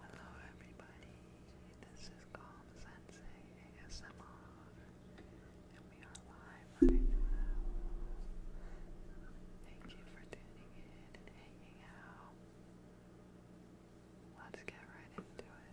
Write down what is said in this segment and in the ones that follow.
Hello everybody, this is Calm Sensei ASMR and we are live Thank you for tuning in and hanging out. Let's get right into it.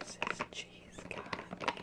This is cheese guy, thank you.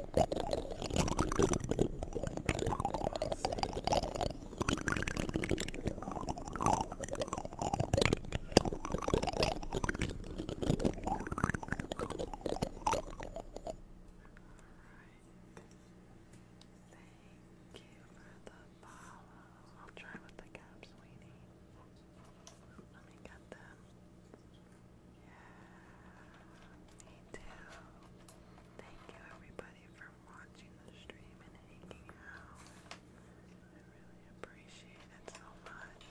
Thank you for the follow. I'll try with the cap, sweetie. Let me get them. Yeah, me too. Thank you everybody for watching the stream and hanging out. I really appreciate it so much.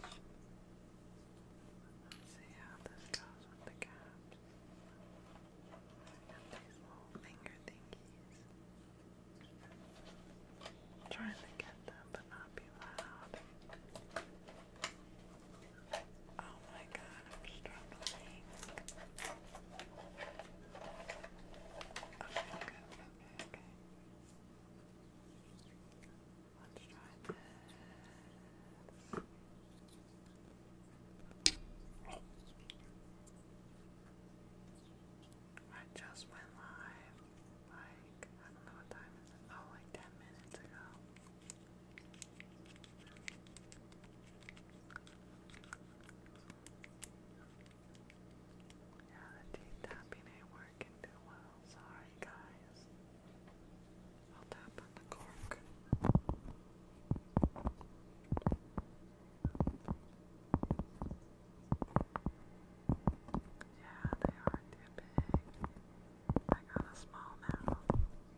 see how this goes with the caps. And these little finger thingies. trying to get them but not be loud. Oh my god, I'm just okay, okay. Let's try this. I just went live, like, I don't know what time it is, oh, like 10 minutes ago. Yeah, the teeth ain't working too well. Sorry, guys. I'll tap on the cork. Yeah, they are too big. I got a small mouth.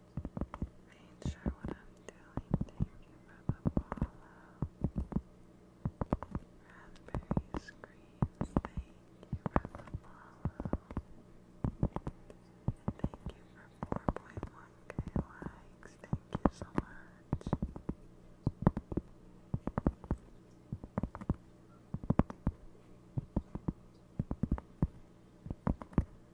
I ain't sure what I'm doing. Thank you for the follow. Raspberry screams. Thank you for the follow. And thank you for 4.1k likes. Thank you so much.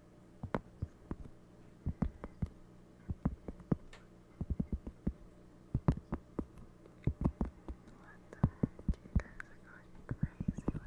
crazy with the lights. Five K likes, thank you.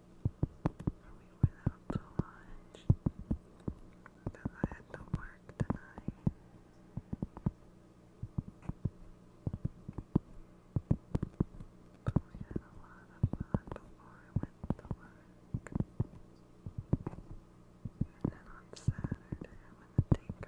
we went out to lunch because I had to work tonight. But we had a lot of fun before I went to work. And then on Saturday, I'm on a date.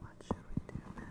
What should we do next?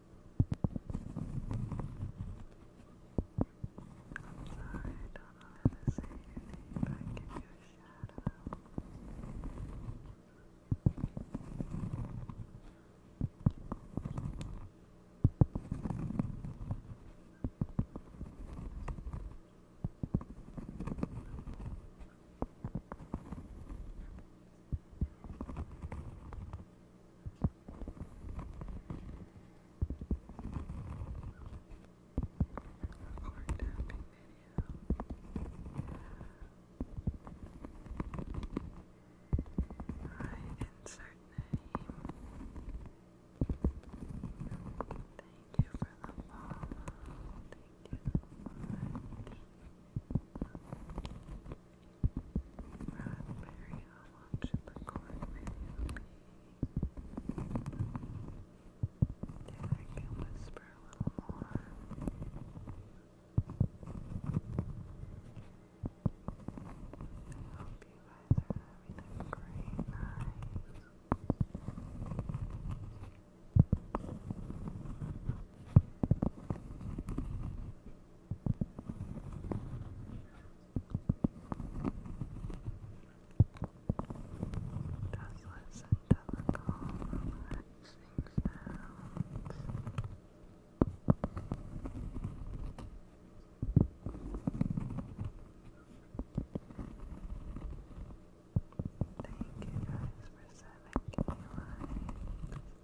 sorry, I don't know how to say your name, I give you a shout or tapping video. I insert name. Thank you for the follow. Thank you Rosemary, how long should the I whisper a little more. I hope you guys are having a great night. Restless and delicate, relaxing sounds. Thank you guys for sending your likes.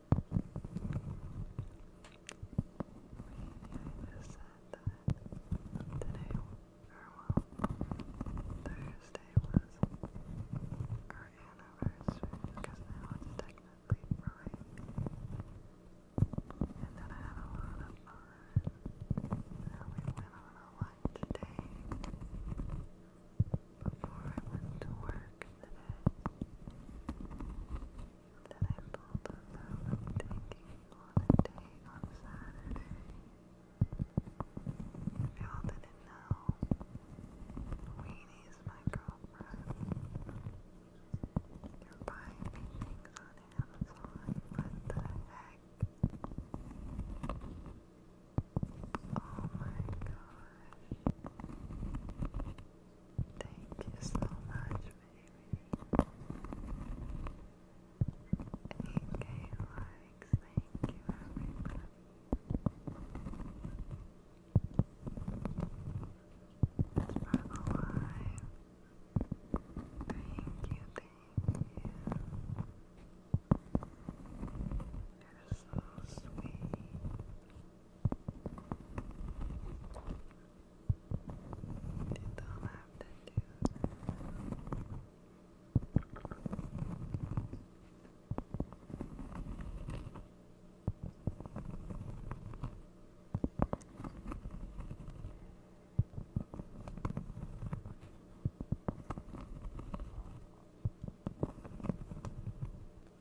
just said that today, well, Thursday was our anniversary, because now it's technically Friday. And then I had a lot of fun. Now we went on a lunch date before I went to work today. Then I pulled a loan of taking holiday on Saturday. If y'all didn't know, Weenie's my girlfriend. You're buying me things on Amazon, what the heck? Oh my gosh. Thank you so much, baby. AK likes, thank you, everybody. Spread the light. Thank you, thank you. you so sweet. Did all have to do.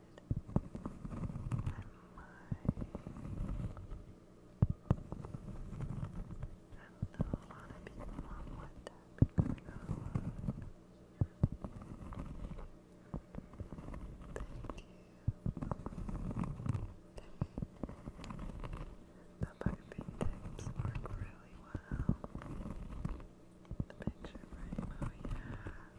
know a lot of people don't want that Thank you. The puppy tips work really well. The picture frame, oh yeah. Oh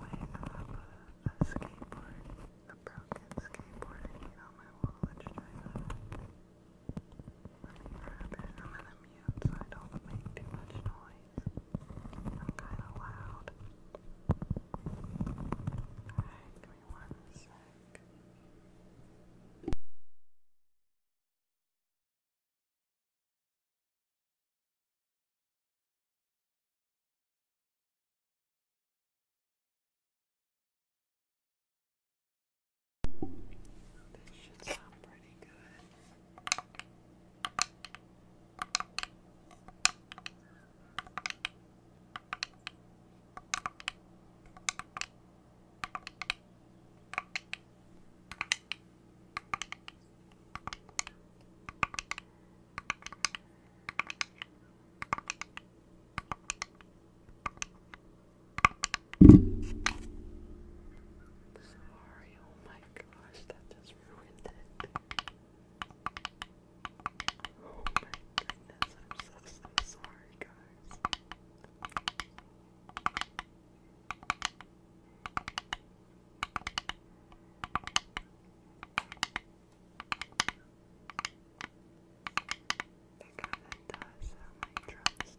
wait, I have a, a skateboard, a broken skateboard hanging on my wall. Let's try that. Let me grab it. I'm gonna me I don't make too much noise. I'm kinda loud. Alright, give me one sec. This should sound pretty good. Sorry, oh my gosh, that just just ruined Oh my goodness, I'm so, so sorry, guys. That kind does sound like drumsticks.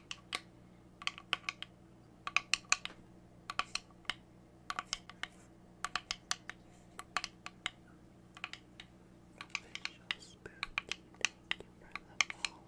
Official Spooky, thank you for the follow.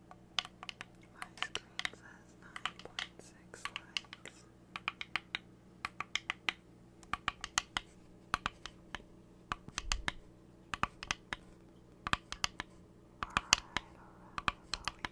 My screen says 9.6 likes. Alright, alright, i it.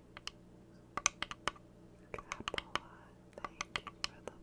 Capola, thank you for the follow.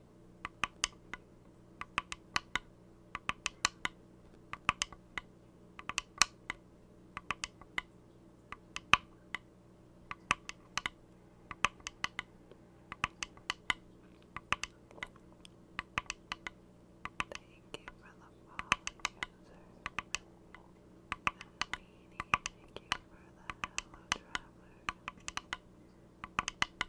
Thank you for the follow thank you for the hello traveler. Thank you for the big love.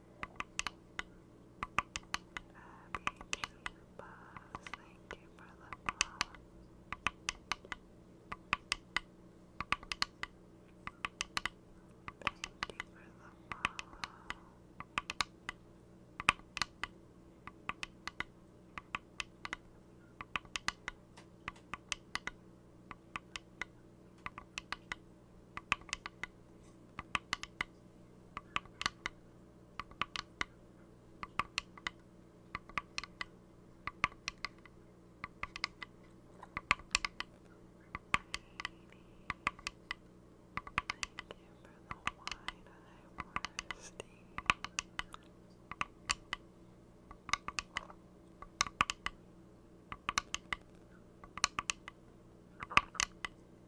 Buzz, thank you for the follow. Thank you for the follow. Thank you for the follow. Thank you for the wine and I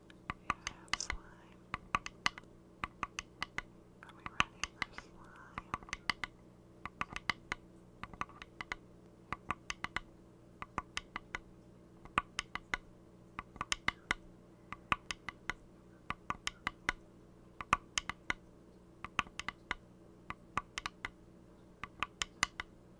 have slime. Are we ready for slime?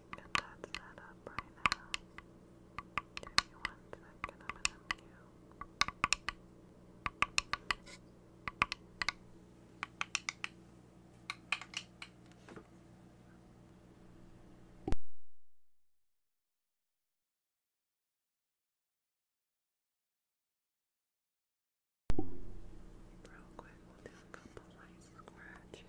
me get that set up right now. Give me one second, I'm Real quick, we'll do a couple light scratches.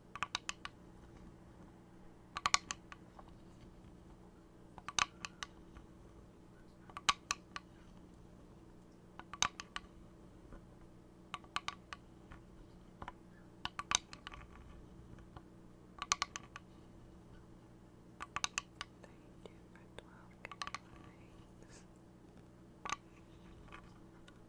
Thank you for 12 likes.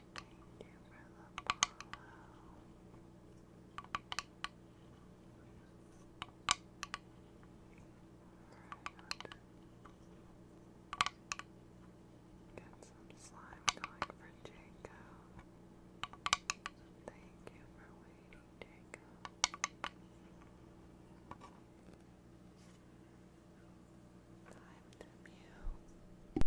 Thank you for the follow. Get some slime going for Jaco. Thank you for waiting, Jaco. Time to mew.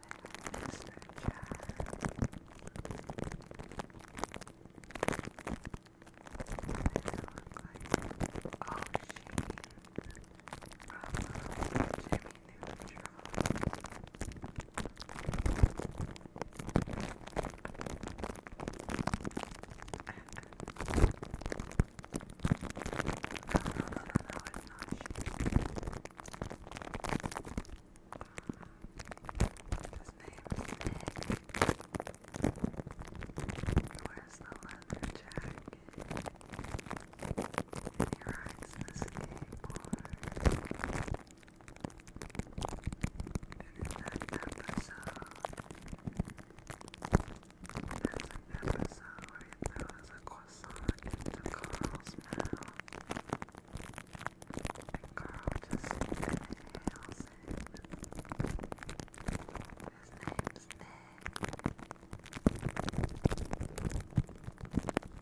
no, no, no, it's not his name is Nick. Wears the leather jacket. He rides the skateboard. And in that episode, there's an episode sock into Carl's mouth. And Carl just inhales it. His name's Ned. Jacob and I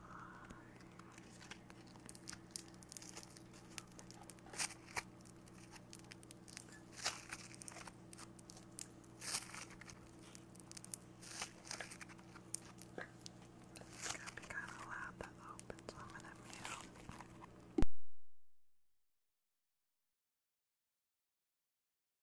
It's gonna be kind of loud that open, so i gonna mute.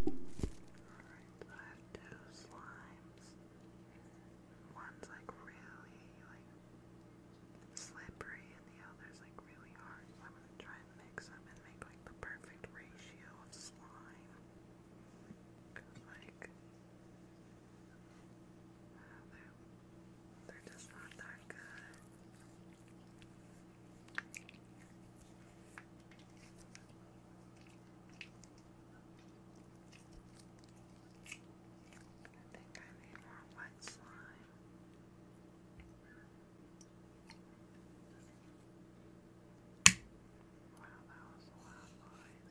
Alright, I have two slimes one's like really like slippery and the other's like really hard. I'm gonna try and mix them and make like the perfect ratio of slime. like they're just not that good. I think I need more white slime. Wow, that was loud noise.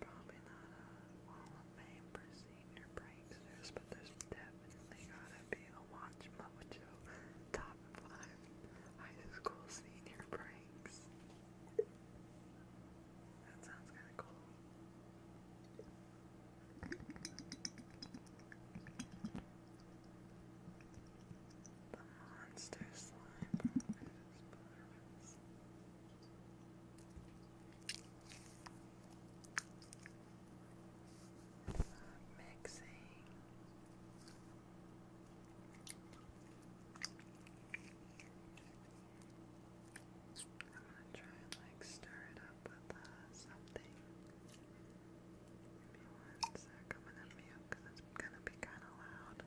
probably not a wall for senior pranksters, but there's definitely gotta be a Watch Mojo top fun high school senior pranks. That sounds kind of cool. The monster slime Mixing I'm gonna try and like stir it up with uh, something. Give me one sec, I'm gonna mute it's gonna be kind of loud.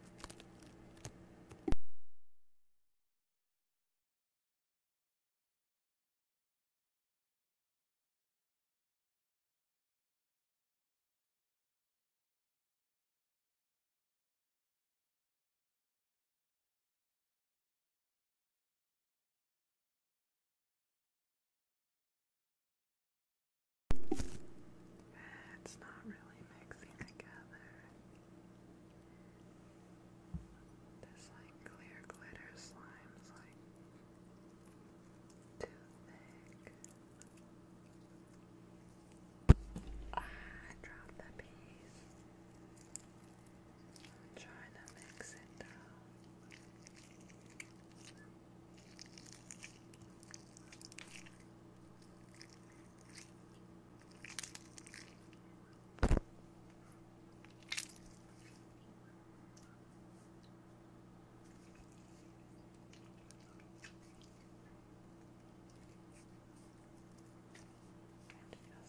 It's not really mixing together. This like clear glitter slime's like too thick. Ah, drop the piece. I'm trying to mix it it feels see how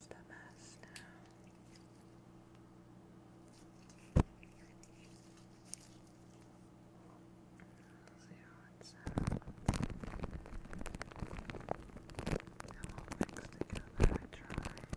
it sounds. Now all mixed I tried.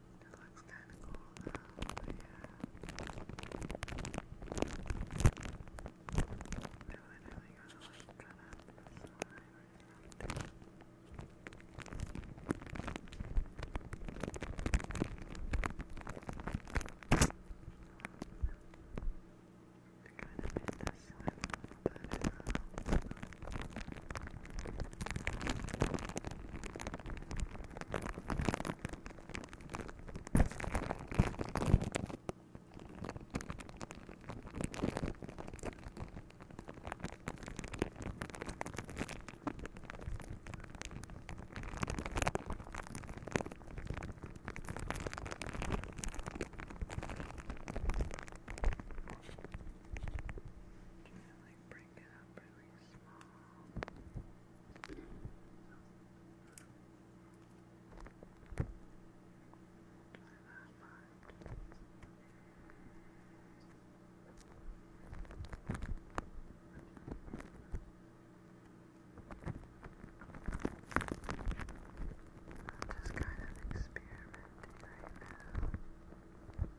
It looks kind of cool though, yeah. I literally gotta like cut up this kind of make this slide a little bit like bring make it I'm just kind of experimenting right now.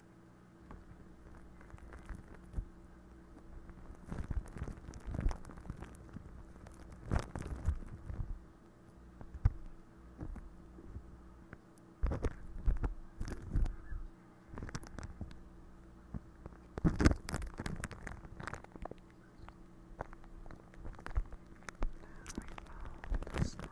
Now we found this one.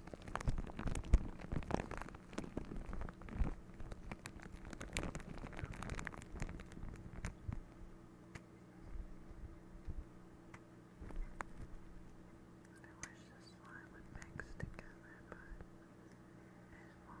wish this slime would mix together, but it won't.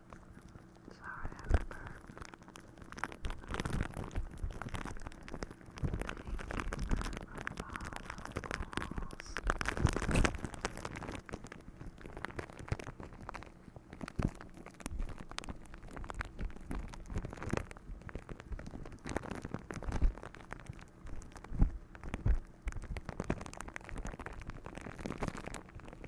Sorry, I remember. Thank you for the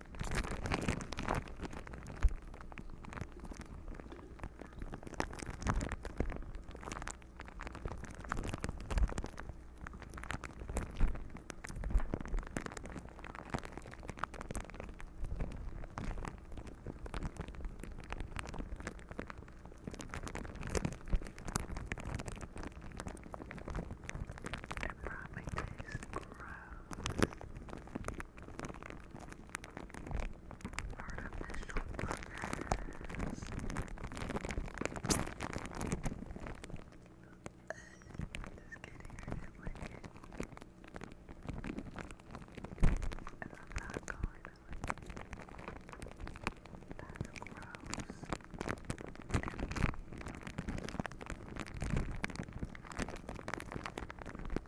It brought grow artificial buttons. just kidding, I did like I'm not going to like it. That's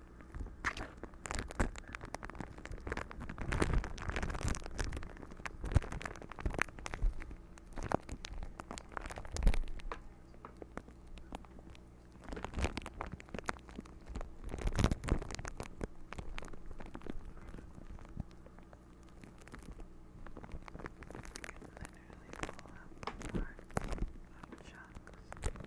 literally pull out more chunks.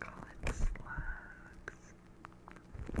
Call it slugs. All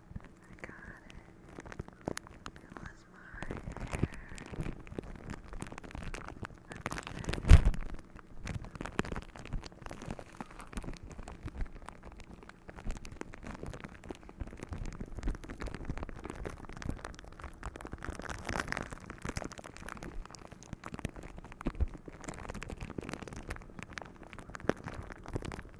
I got it. It was my hair. I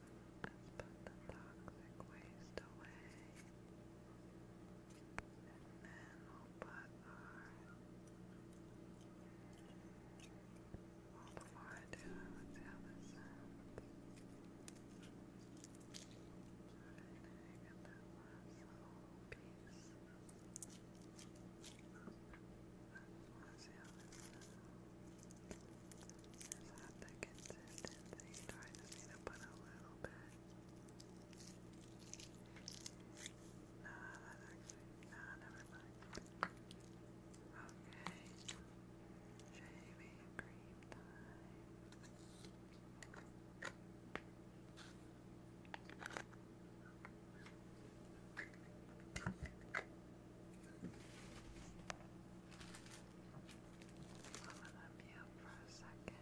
Let's put the toxic waste away. And then we'll put our... Well, before I do that, let's see how this sounds. Alright, now you get that little piece. Just want the consistency. Do I just need to put a little bit? No, that actually, never mind. Okay. Shaving cream I'm going for a second.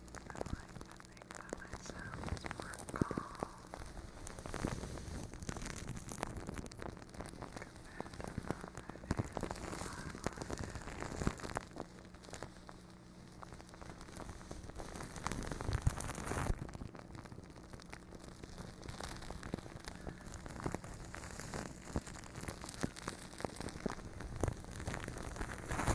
I like to think that my sounds more calm compared to how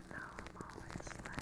know I'm always like I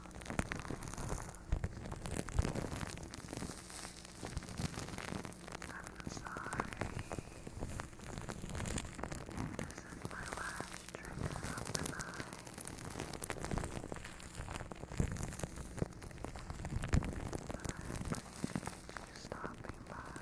I'm sorry. This is my last trigger of the But I appreciate you stopping by.